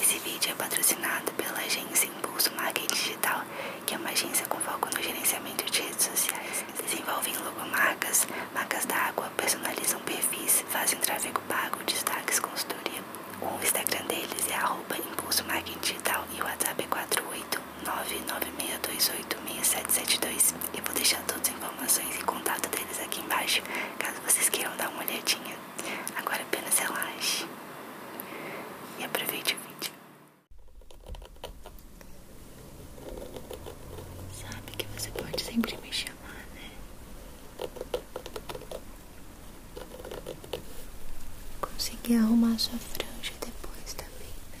Esse vídeo é patrocinado pela agência Impulso Marketing Digital, que é uma agência com foco no gerenciamento de redes sociais. Desenvolvem logomarcas, marcas d'água, personalizam perfis, fazem tráfego pago, destaques, consultoria. O Instagram deles é arroba Digital e o WhatsApp é 48996286772. Eu vou deixar todas as informações e contato deles aqui embaixo, caso vocês queiram dar uma olhadinha. Agora apenas relaxe e aproveite o vídeo. Sabe que você pode sempre me chamar, né? Consegui arrumar sua franja depois também, né?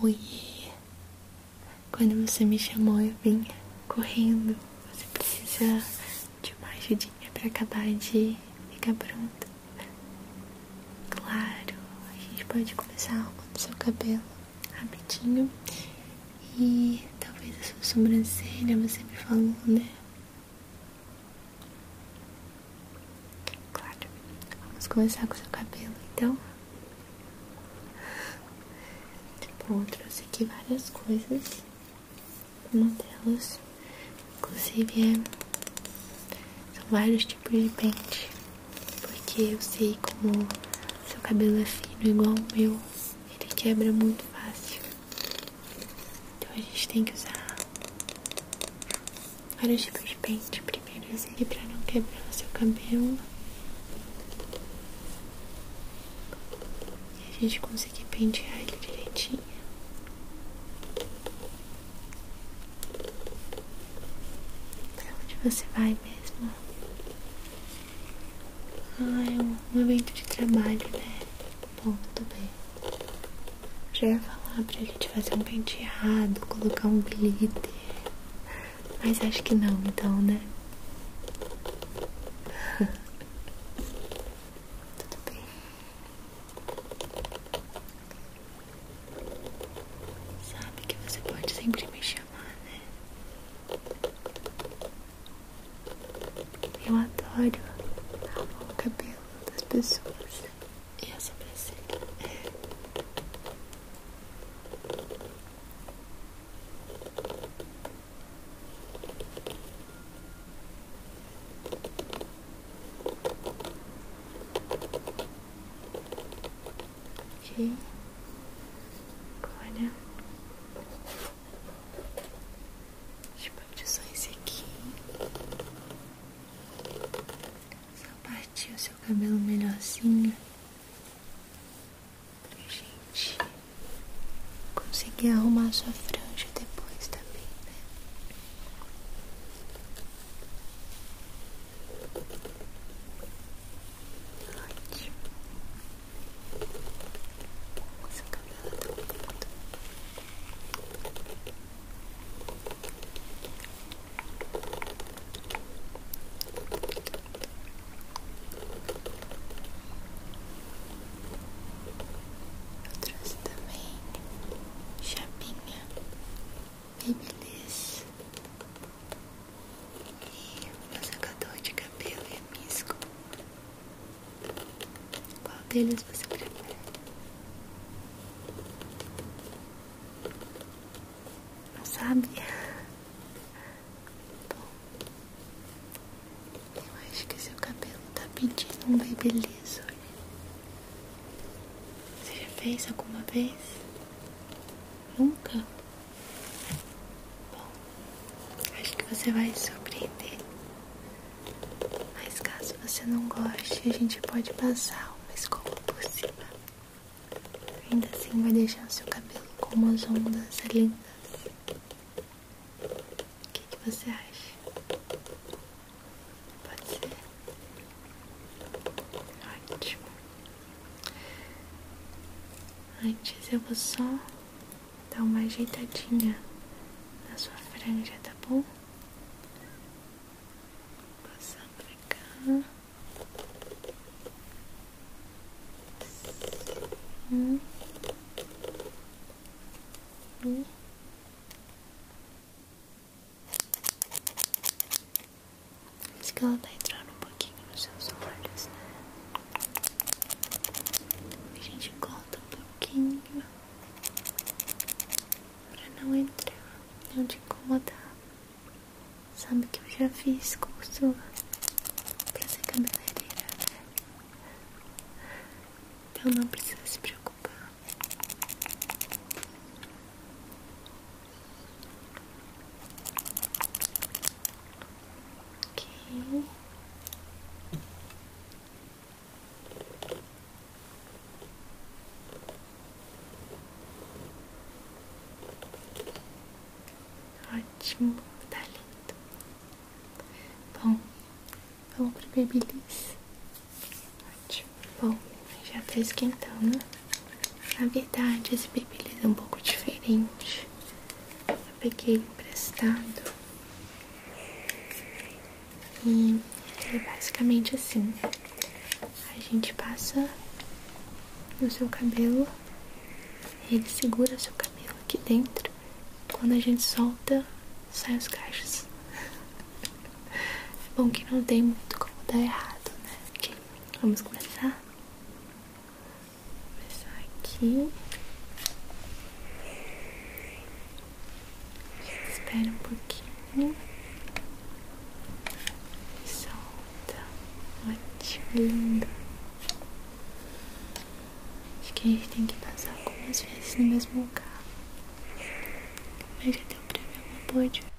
Oi, quando você me chamou eu vim correndo. Você precisa de uma ajudinha para acabar de ficar pronta. Claro, a gente pode começar com o seu cabelo rapidinho. E talvez a sua sobrancelha, você me falou, né? Claro. Vamos começar com o seu cabelo, então. Bom, eu trouxe aqui várias coisas. Uma delas Inclusive, é, são vários tipos de pente. Porque eu sei como seu cabelo é fino, igual o meu, ele quebra muito fácil. Então a gente tem que usar vários tipos de pente. Primeiro assim aqui pra não quebrar o seu cabelo. E a gente conseguir pentear ele direitinho. Pra onde você vai mesmo? Ah, é um momento de trabalho, né? Bom, tudo bem. Já ia falar pra gente fazer um penteado, colocar um glitter. Mas acho que não, então, né? tudo bem. Sabe que você pode sempre me chamar, né? Eu adoro o cabelo das pessoas e a sobrancelha. Ok. Agora. Deixa eu partir só esse aqui. Só partir o seu cabelo melhorzinho. Gente, conseguir arrumar a sua franja depois também, né? Ótimo. Seu cabelo tá bonito. Eu trouxe também chapinha e beleza. E o secador de cabelo é a Qual deles você prefere? Não sabe? Bom, eu acho que seu cabelo tá pedindo um baby beleza, hoje. Você já fez alguma vez? Nunca? Bom, acho que você vai se surpreender. Mas caso você não goste, a gente pode passar uma escova por cima. Ainda assim vai deixar o seu cabelo com umas ondas lindas. O que, que você acha? Pode ser. Ótimo. Antes eu vou só dar uma ajeitadinha na sua franja, tá bom? Passando pra cá. Acho que ela tá entrando um pouquinho nos seus olhos, né? A gente corta um pouquinho pra não entrar, e não te incomodar. Sabe que eu já fiz curso pra ser cabeleireira, Então não precisa se preocupar. Ok. Ótimo, tá lindo. Bom, vamos pro Babyliss. Bom, já tá esquentando. Na verdade, esse bebê é um pouco diferente. Eu peguei emprestado. E é basicamente assim. A gente passa no seu cabelo. Ele segura seu cabelo aqui dentro. Quando a gente solta, saem os cachos. bom que não tem muito como dar errado, né? Vamos começar? começar aqui. Espera um pouquinho. Solta. Ótimo, Acho que a gente tem que passar algumas vezes no mesmo lugar. Mas já deu pra ver uma boa diferença.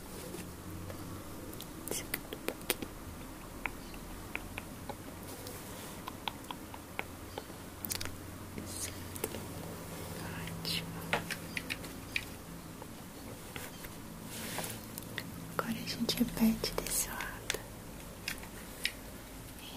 Secando um pouquinho. Certo. Ótimo. Agora a gente repete desse lado. Um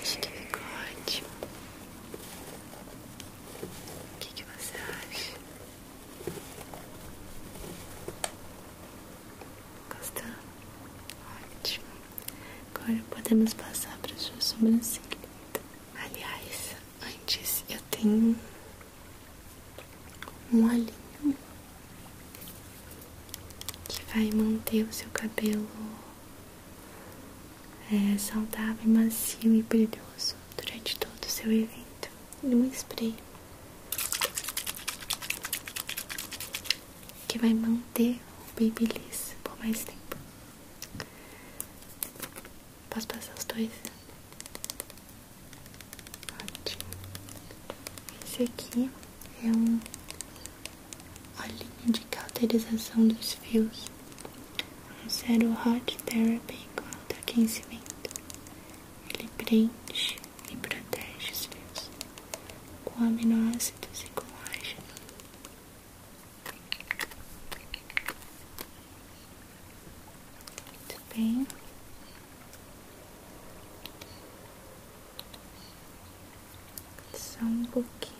Acho que ficou ótimo. O que, que você acha? Gostou? Ótimo. Agora podemos passar para sua sobrancelha. Aliás, antes eu tenho um olhinho que vai manter o seu cabelo é, saudável, macio e brilhoso durante todo o seu evento. E um spray que vai manter o babyliss por mais tempo. Posso passar os dois? Ótimo. Esse aqui é um olhinho de cauterização dos fios. Um cero Hot Therapy com alto aquecimento. Ele preenche e protege os fios com aminoácidos e colágeno. Muito bem. Só um pouquinho.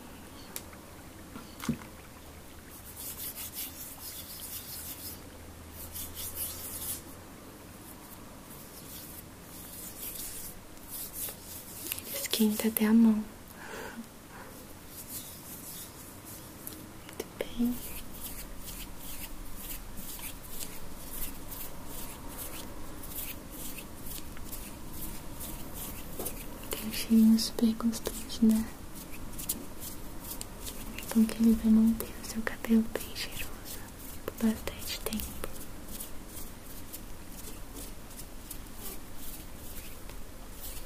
Esquenta até a mão. Muito bem. Tem um cheirinho super gostoso, né? Então que ele vai manter o seu cabelo bem cheiroso por bastante tempo.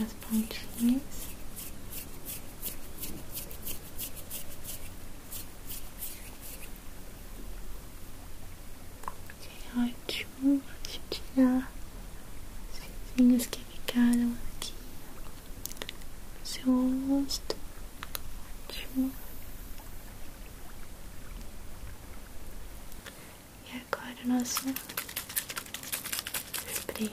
as pontinhas. Que ótimo, deixa eu tirar os fizinhos que ficaram aqui no seu rosto. Ótimo. E agora o nosso spray.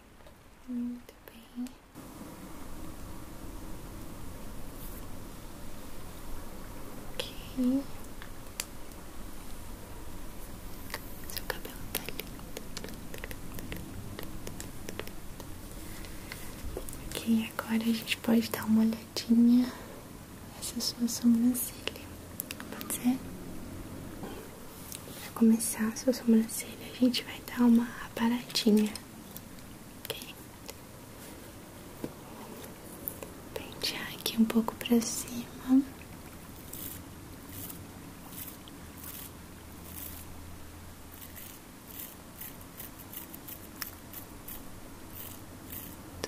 Muito bem. Ok. Seu cabelo tá lindo. Ok, agora a gente pode dar uma olhadinha nessa sua sobrancelha. Pode ser? Para começar a sua a gente vai dar uma aparadinha, ok? Pentear aqui um pouco para cima.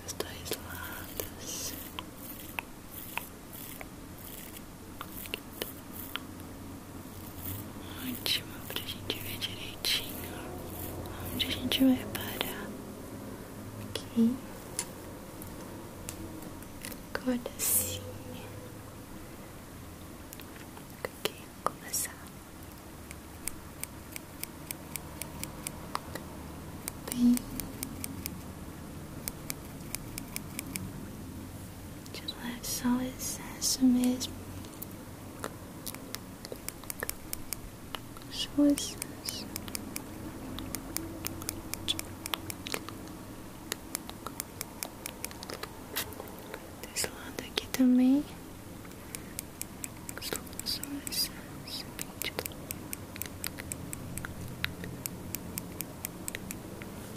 dos dois lados Ótimo, pra gente ver direitinho onde a gente vai parar. Aqui. Agora sim. Ok, começar. Bem de relaxar o excesso mesmo. Só o excesso. Desse lado aqui também. Só o excesso. Tipo.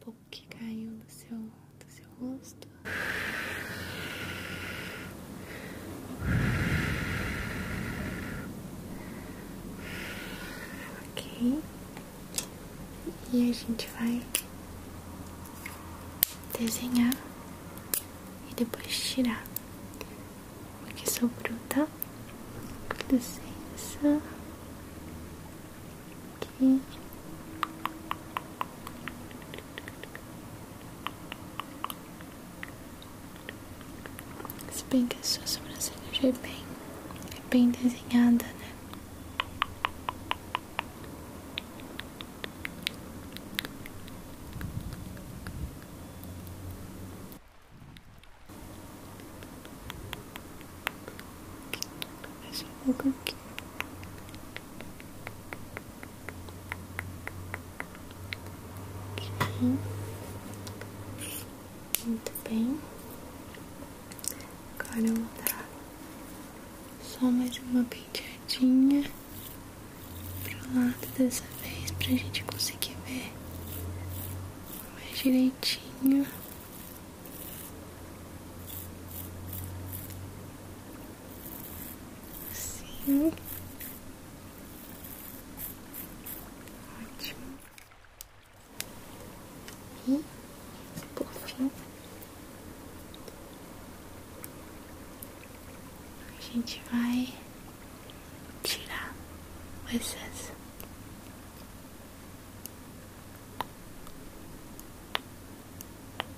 pouco que caiu do seu, do seu rosto. Ok, e a gente vai desenhar e depois tirar o que sobrou, tá? Licença. Se bem que a sua sobrancelha já é bem, é bem desenhada, né? Deixa um pouco muito bem. Agora eu vou dar só mais uma penteadinha pro lado dessa vez para a gente conseguir ver mais direitinho. Sim. Ótimo. E por fim, a gente vai tirar o excesso.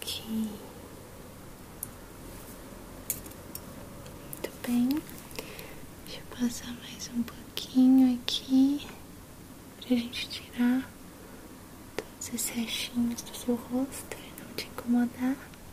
Aqui. Muito bem. Deixa eu passar mais um pouquinho aqui para a gente tirar todos esses restinhos do seu rosto e não te incomodar.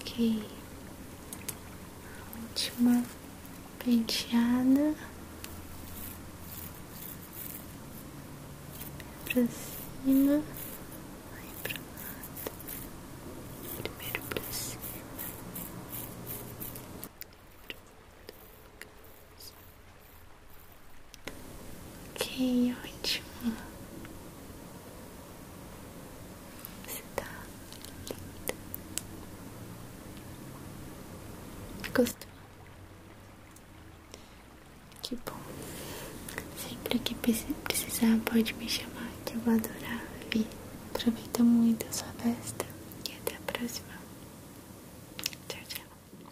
Ok, última penteada pra cima, aí pro lado, primeiro pra cima. Ok, ótimo. Você tá linda. Gostou? Que bom. Sempre que precisar, pode me chamar, que eu vou adorar vir. Aproveita muito a sua festa e até a próxima. Tchau, tchau.